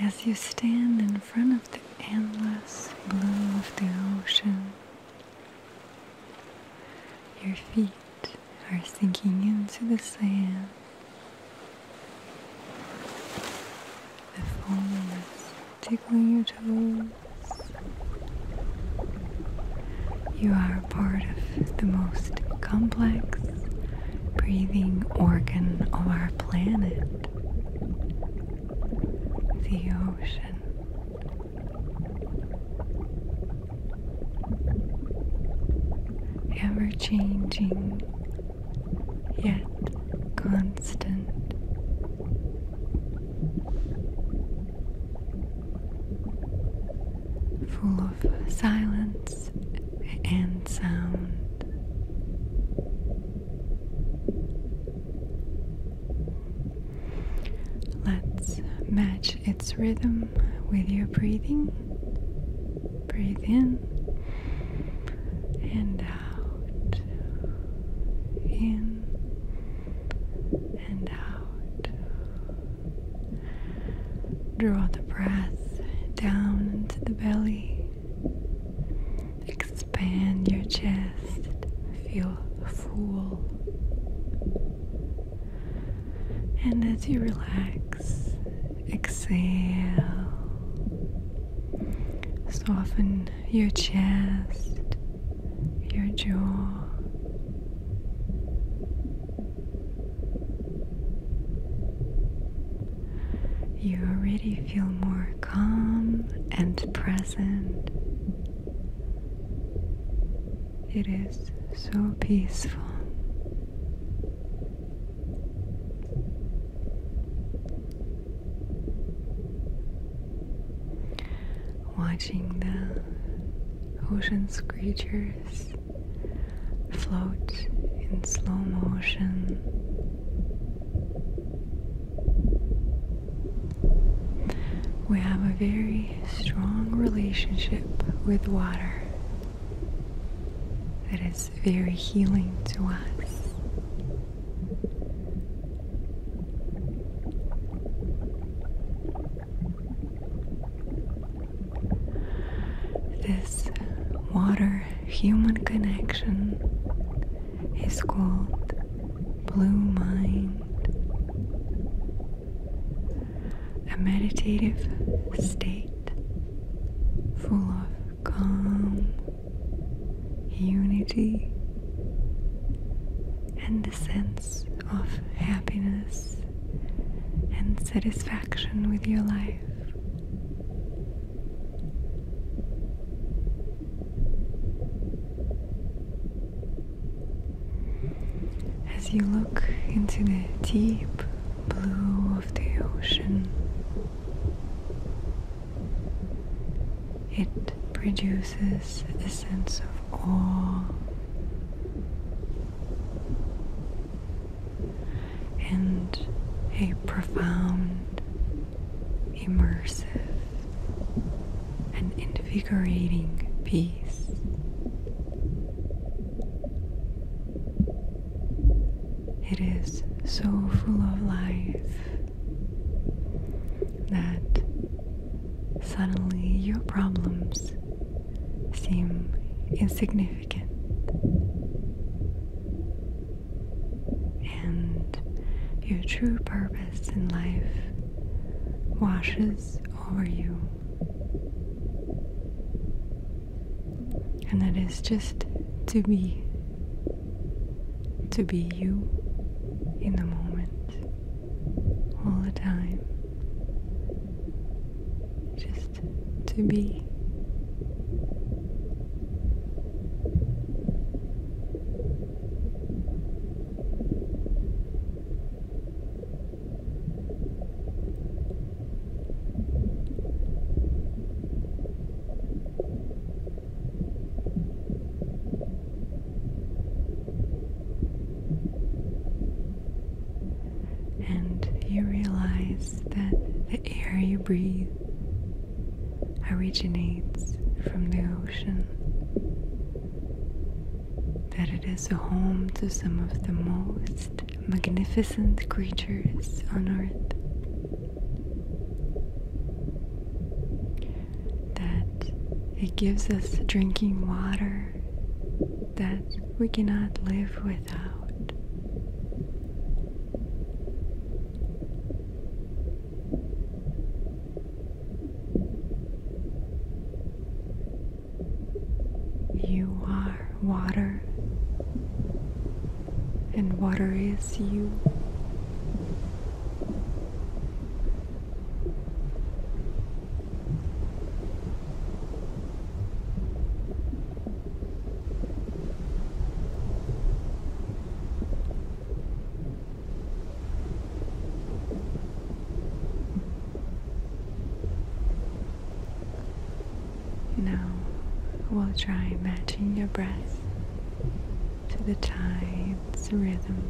As you stand in front of the endless blue of the ocean, your feet are sinking into the sand. The foam is tickling your toes. You are part of the most complex breathing organ of our planet the ocean. Ever changing, yet constant. Full of silence and sound. Let's match its rhythm with your breathing. Breathe in and out. In and out. Draw the breath down into the belly. Expand your chest. Feel full. And as you relax, exhale. Soften your chest, your jaw. You already feel more calm and present. It is so peaceful. Watching the ocean creatures float in slow motion. We have a very strong relationship with water that is very healing to us. This water human connection is called Blue Mind. A meditative state full of calm, unity, and the sense of happiness and satisfaction with your life. As you look into the deep blue of the ocean, it produces a sense of awe and a profound, immersive, and invigorating peace. It is so full of life that suddenly your problems seem insignificant. And your true purpose in life washes over you. And that is just to be, to be you in the moment all the time. Just to be. And you realize that the air you breathe originates from the ocean, that it is a home to some of the most magnificent creatures on earth. That it gives us drinking water that we cannot live without. You are water, and water is you. Now we'll try matching your breath to the tide's rhythm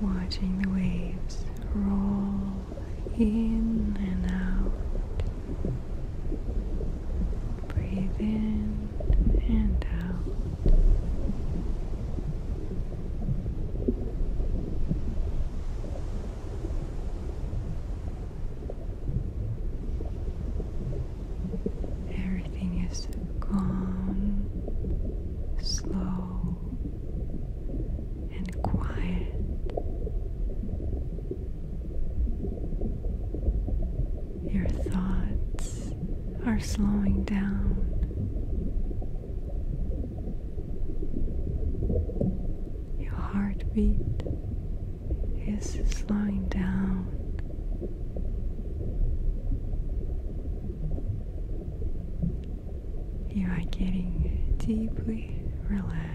Watching the waves roll in and out. Breathe in and out. Everything is gone, slow, and quiet. Your thoughts are slowing down. Your heartbeat is slowing down. You are getting deeply relaxed.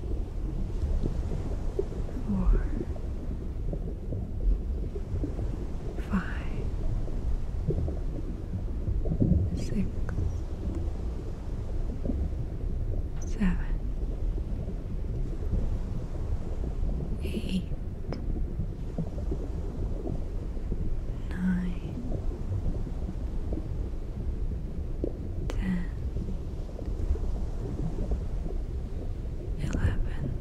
four, five, six, seven, eight, nine, ten eleven,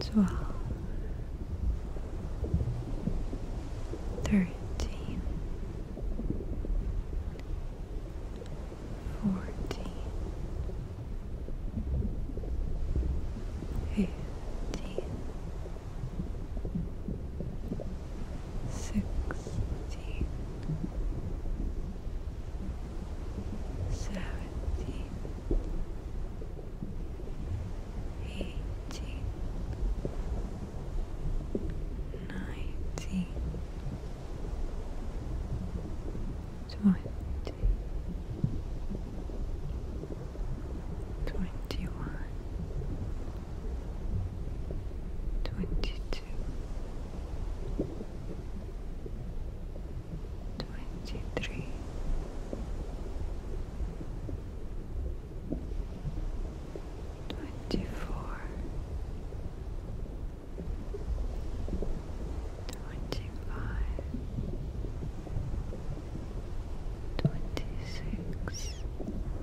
twelve, thirteen, fourteen, fifteen sixteen, seventeen, eighteen, nineteen, twenty. Twenty one, Twenty-two, twenty-three, twenty-four, twenty-five, twenty-six.